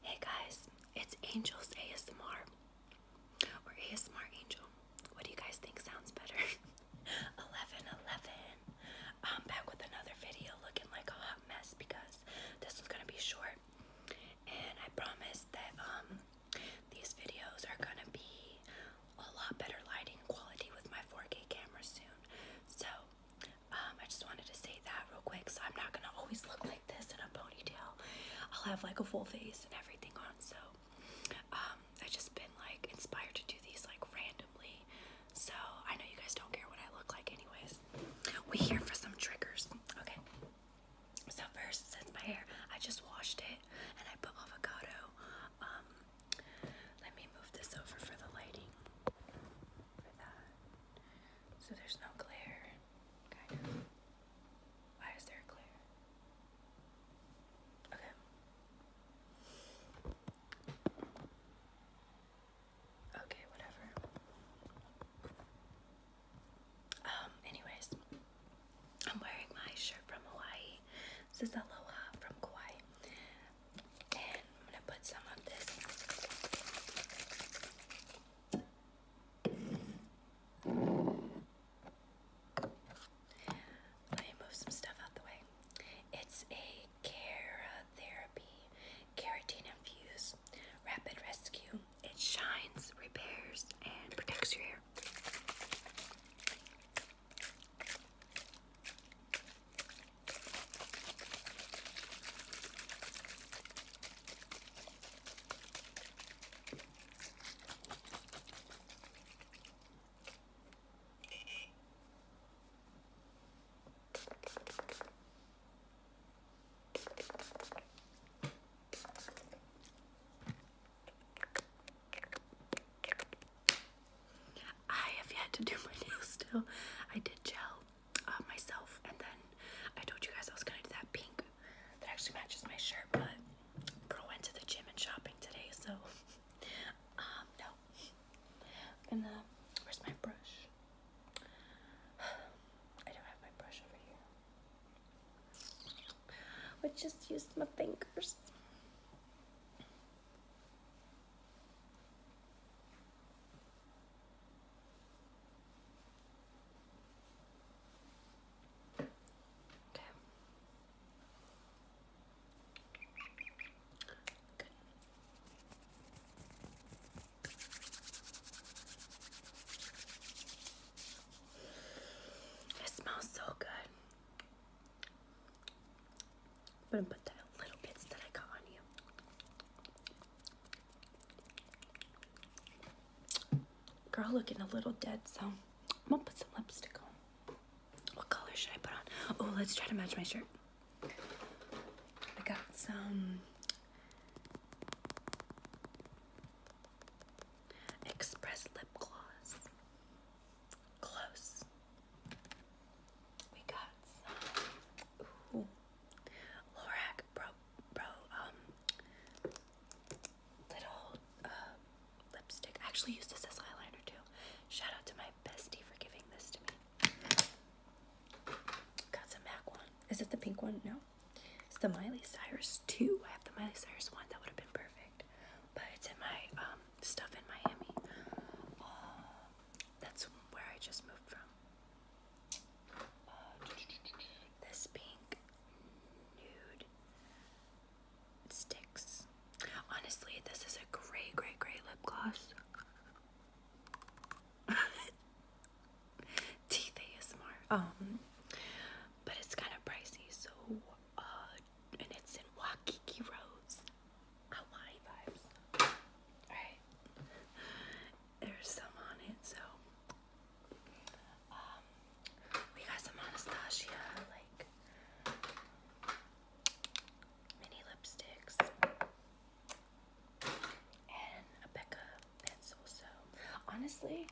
Hey guys, it's Angels ASMR or ASMR Angel. What do you guys think sounds better? 11 I'm back with another video looking like a hot mess because this one's going to be short. And I promise that um these videos are going to be a lot better lighting quality with my 4K camera soon. So, um, I just wanted to say that real quick, so I'm not gonna always look like this in a ponytail. I'll have like a full face and everything on. So um, I've just been like inspired to do these like randomly. So I know you guys don't care what I look like, anyways. We here for some triggers, okay? So first, since my hair, I just washed it and I put avocado. Um, let me move this over for the lighting. For that so there's no glare, kind Why is there glare? Okay. Okay, whatever. Um, anyways, I'm wearing my shirt from Hawaii. This is Aloha from Kauai. And I'm gonna put some of this let me move some stuff out the way. It's a therapy, Keratin Infused Rapid Rescue. It shines, repairs, and protects your hair. I have yet to do my nails still. I did gel uh, myself. And then I told you guys I was gonna do that pink that actually matches my shirt, but girl went to the gym and shopping today, so um, no. And where's my brush? I don't have my brush over here. But just used my fingers. Okay. It smells so good. I'm gonna put the little bits that I got on you. Girl looking a little dead, so I'm gonna put some lipstick on. What color should I put on? Oh, let's try to match my shirt. I got some express lip gloss. Close. We got Lorac bro bro um little uh, lipstick. I actually used this as eyeliner too. Shout out to my bestie for giving this to me. Got some MAC one. Is it the pink one? No. It's the Miley Cyrus 2. I have the Miley Cyrus one. That would have been perfect. But it's in my um, stuff in Miami. Uh, that's where I just moved from this pink nude sticks. Honestly, this is a great, great, great lip gloss. Teeth ASMR. Um, but it's kind of pricey, so uh, and it's in Waikiki Rose, Hawaii vibes. Alright, there's some on it, so um, we got some Anastasia like mini lipsticks and a Becca pencil. So honestly,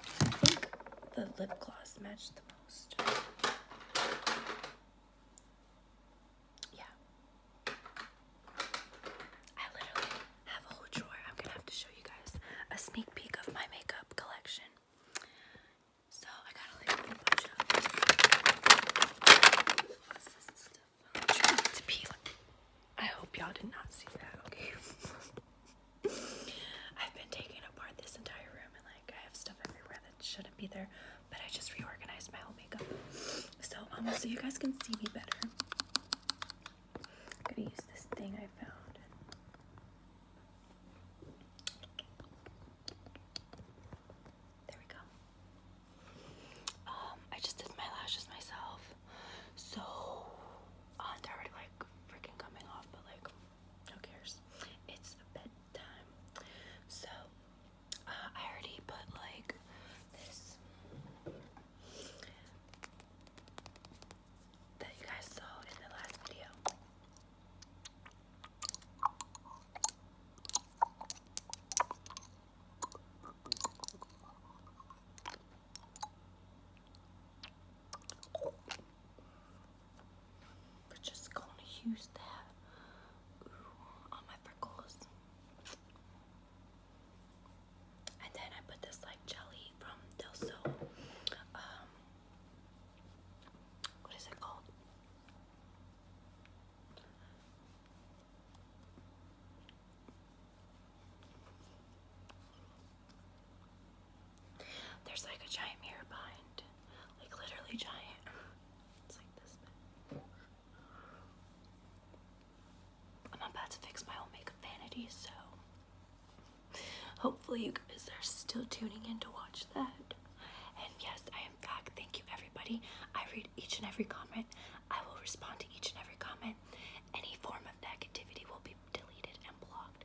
I think the lip gloss matched the most. Yeah, I literally have a whole drawer. I'm gonna have to show you guys a sneak peek of my makeup collection. So I gotta like bunch of stuff. to pee. I hope y'all did not see that. Okay. I've been taking apart this entire room and like I have stuff everywhere that shouldn't be there, but I just reorganized my whole makeup. So um so you guys can see me better. I'm gonna use this thing I found. There we go. Um, I just did my lashes myself. So uh, they're already like freaking coming off, but like who cares? It's bedtime. So uh, I already put like this that you guys saw in the last video. We're just gonna use that on my freckles. And then I put this like jelly from Del um, what is it called? There's like a giant mirror behind, like literally giant. It's like this I'm about to fix my own makeup vanity, so hopefully you guys are still tuning in to watch that. And yes, I am back. Thank you, everybody. I read each and every comment. I will respond to each and every comment. Any form of negativity will be deleted and blocked.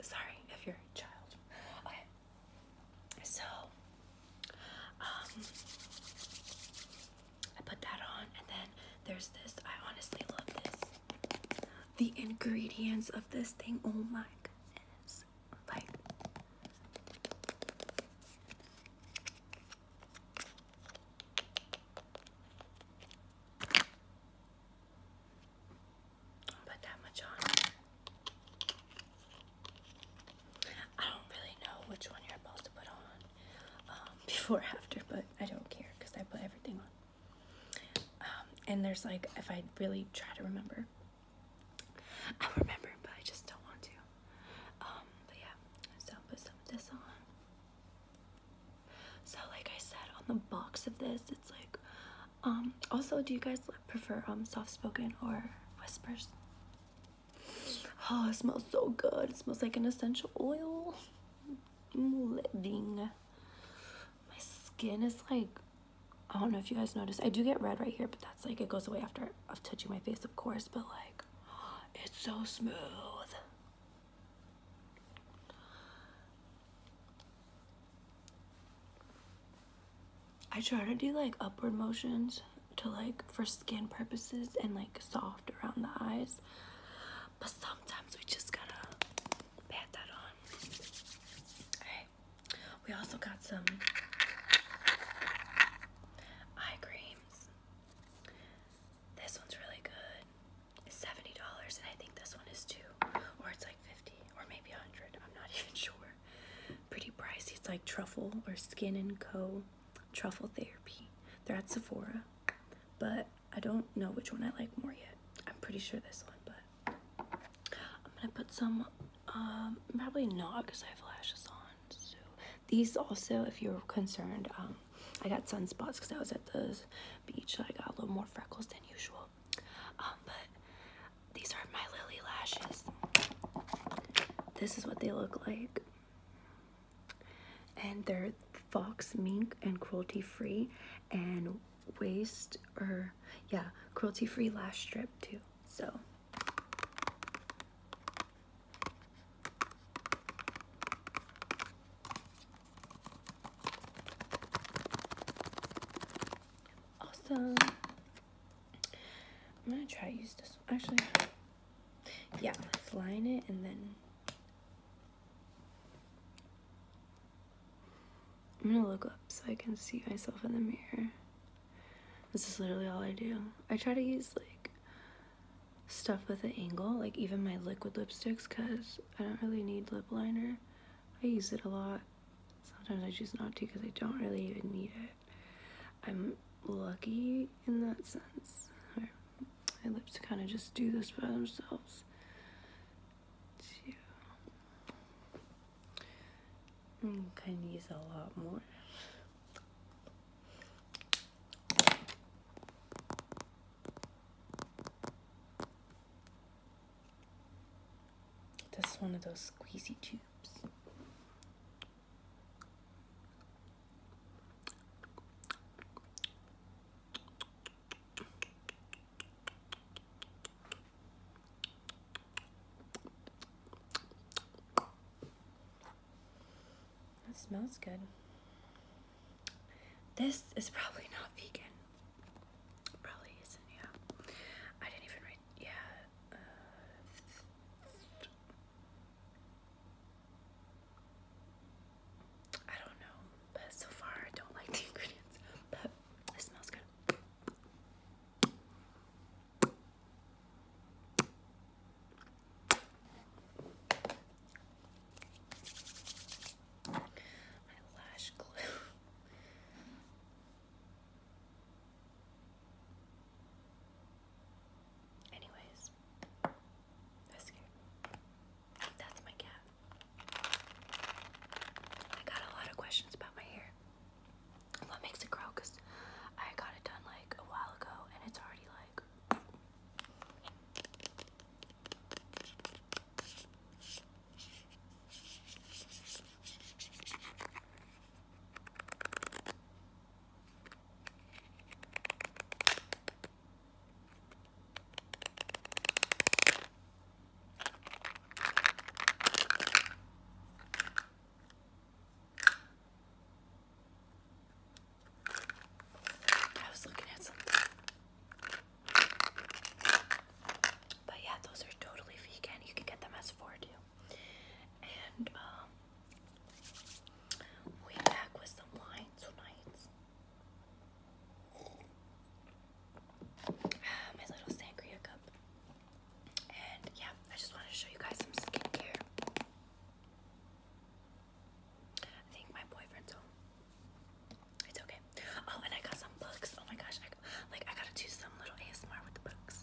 Sorry if you're a child. So, um, I put that on, and then there's this. I honestly love this. The ingredients of this thing, oh my goodness. Like, put that much on. I don't really know which one you're supposed to put on um, before after, but I don't care because I put everything on. Um, and there's like, if I really try to remember, I remember, but I just don't want to. Um, but yeah, so I'll put some of this on. So like I said, on the box of this, it's like um, also, do you guys prefer um soft-spoken or whispers? Oh, it smells so good. It smells like an essential oil. My skin is like, I don't know if you guys notice. I do get red right here, but that's like, it goes away after of touching my face, of course, but like, it's so smooth. I try to do like upward motions to like for skin purposes and like soft around the eyes. But sometimes we just gotta pat that on. Alright. We also got some eye creams. This one's really good. It's $70 and I think this one is two. Or it's like 50 or maybe 100 I'm not even sure. Pretty pricey. It's like Truffle or Skin and Co. Truffle Therapy. They're at Sephora, but I don't know which one I like more yet. I'm pretty sure this one, but I'm gonna put some. Um, probably not because I have lashes on. So these also, if you're concerned, um, I got sunspots because I was at the beach, I got a little more freckles than usual. Um, but these are my Lily lashes. This is what they look like. And they're fox mink and cruelty free and waste or yeah, cruelty free lash strip too. So awesome. I'm gonna try to use this one. Actually, yeah, let's line it and then I'm gonna look up so I can see myself in the mirror. This is literally all I do. I try to use like stuff with an angle, like even my liquid lipsticks, cause I don't really need lip liner. I use it a lot. Sometimes I choose not to because I don't really even need it. I'm lucky in that sense. My lips kind of just do this by themselves. Two. am mm, use a lot more. This is one of those squeezy tubes. That smells good. This is probably not vegan. Probably isn't, yeah. I didn't even write yeah. Uh, I don't know, but so far I don't like the ingredients, but it smells good. My lash glue. Anyways, that's good. That's my cat. I got a lot of questions about my hair. What makes it grow? Because I got it done like a while ago and it's already like. I was looking at something. But yeah, those are totally vegan. You can get them as four too. And um we back with some wine tonight. Ah, my little sangria cup. And yeah, I just wanted to show you guys some skincare. I think my boyfriend's home. It's okay. Oh, and I got some books. Oh my gosh, like, I gotta do some little ASMR with the books.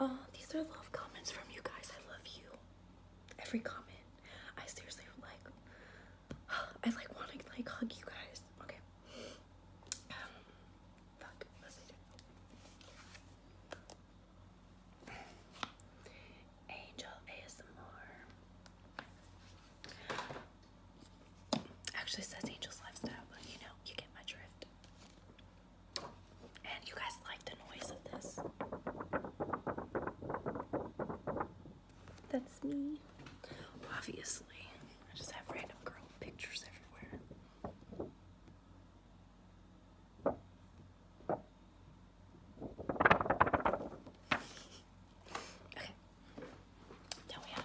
oh. Uh, these are love comments from you guys. I love you. Every comment. I seriously like, I like want to like hug you guys. Okay. Um, Angel ASMR. Actually says Angel's Lifestyle, but you know, you get my drift. And you guys like the noise of this. That's me. Obviously. I just have random girl pictures everywhere. Okay. Then we have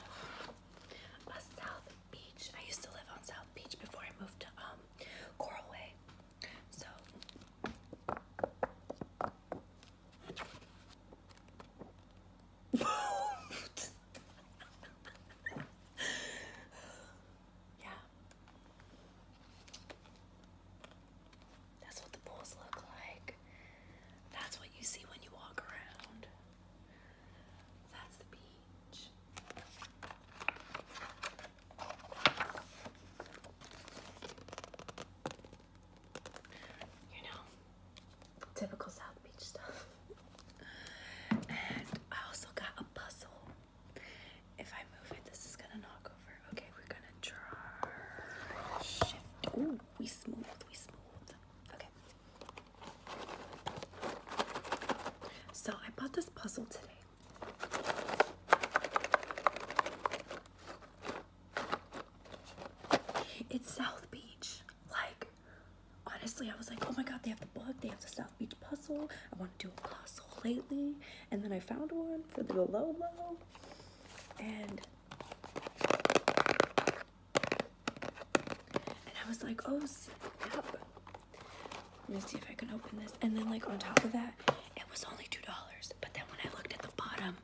South Beach. I used to live on South Beach before I moved to um, Coral Way. So yeah, that's what the pools look like. That's what you see when you walk around. That's the beach. You know, typical South Beach stuff. and I also got a puzzle. If I move it, this is gonna knock over. Okay, we're gonna try shift. Ooh, we smooth, we smooth. Okay. So I bought this puzzle today. It's South Beach. Like, honestly, I was like, oh my god, they have the book, they have the South Beach puzzle. I want to do a puzzle lately and then I found one for the low low and I was like, oh snap. Let me see if I can open this. And then like on top of that, it was only $2. But then when I looked at the bottom,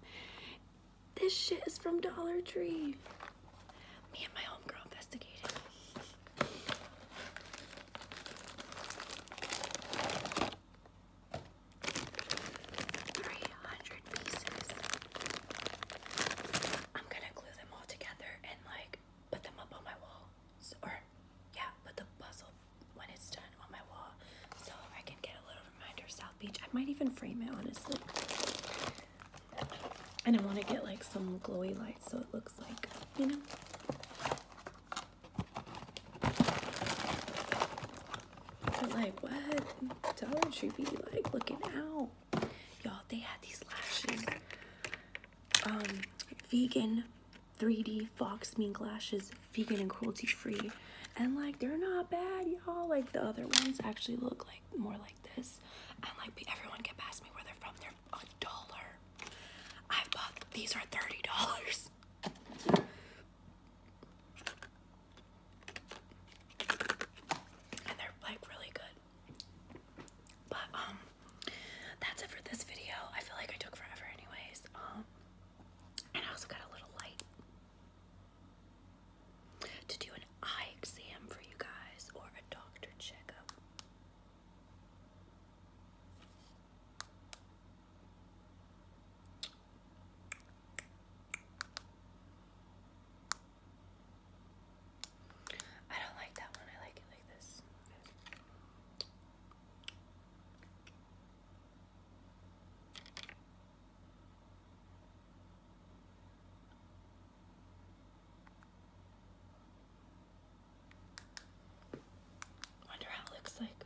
this shit is from Dollar Tree. Me and my homegirl investigated. 300 pieces. I'm gonna glue them all together and like put them up on my wall. or, yeah, put the puzzle when it's done on my wall so I can get a little reminder South Beach. I might even frame it honestly. And I want to get like some glowy lights so it looks like, you know. But like, what? Dollar Tree be like looking out. Y'all, they had these lashes. Um, vegan 3D Fox mean lashes, vegan and cruelty free. And like, they're not bad, y'all. Like, the other ones actually look like more like this. And like, everyone can pass me where they're from. They're a dollar. I bought these are $30. And they're like really good. But um that's it for this video. I feel like I took forever anyways. Um and I also got a little light to do an eye exam for you guys or a doctor checkup. I don't like that one. I like it like this. Wonder how it looks like.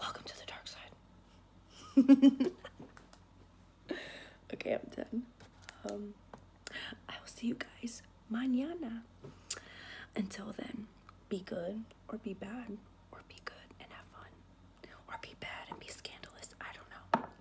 Welcome to the dark side. okay, I'm done. Um, I will see you guys mañana. Until then, be good or be bad or be good and have fun or be bad and be scandalous. I don't know.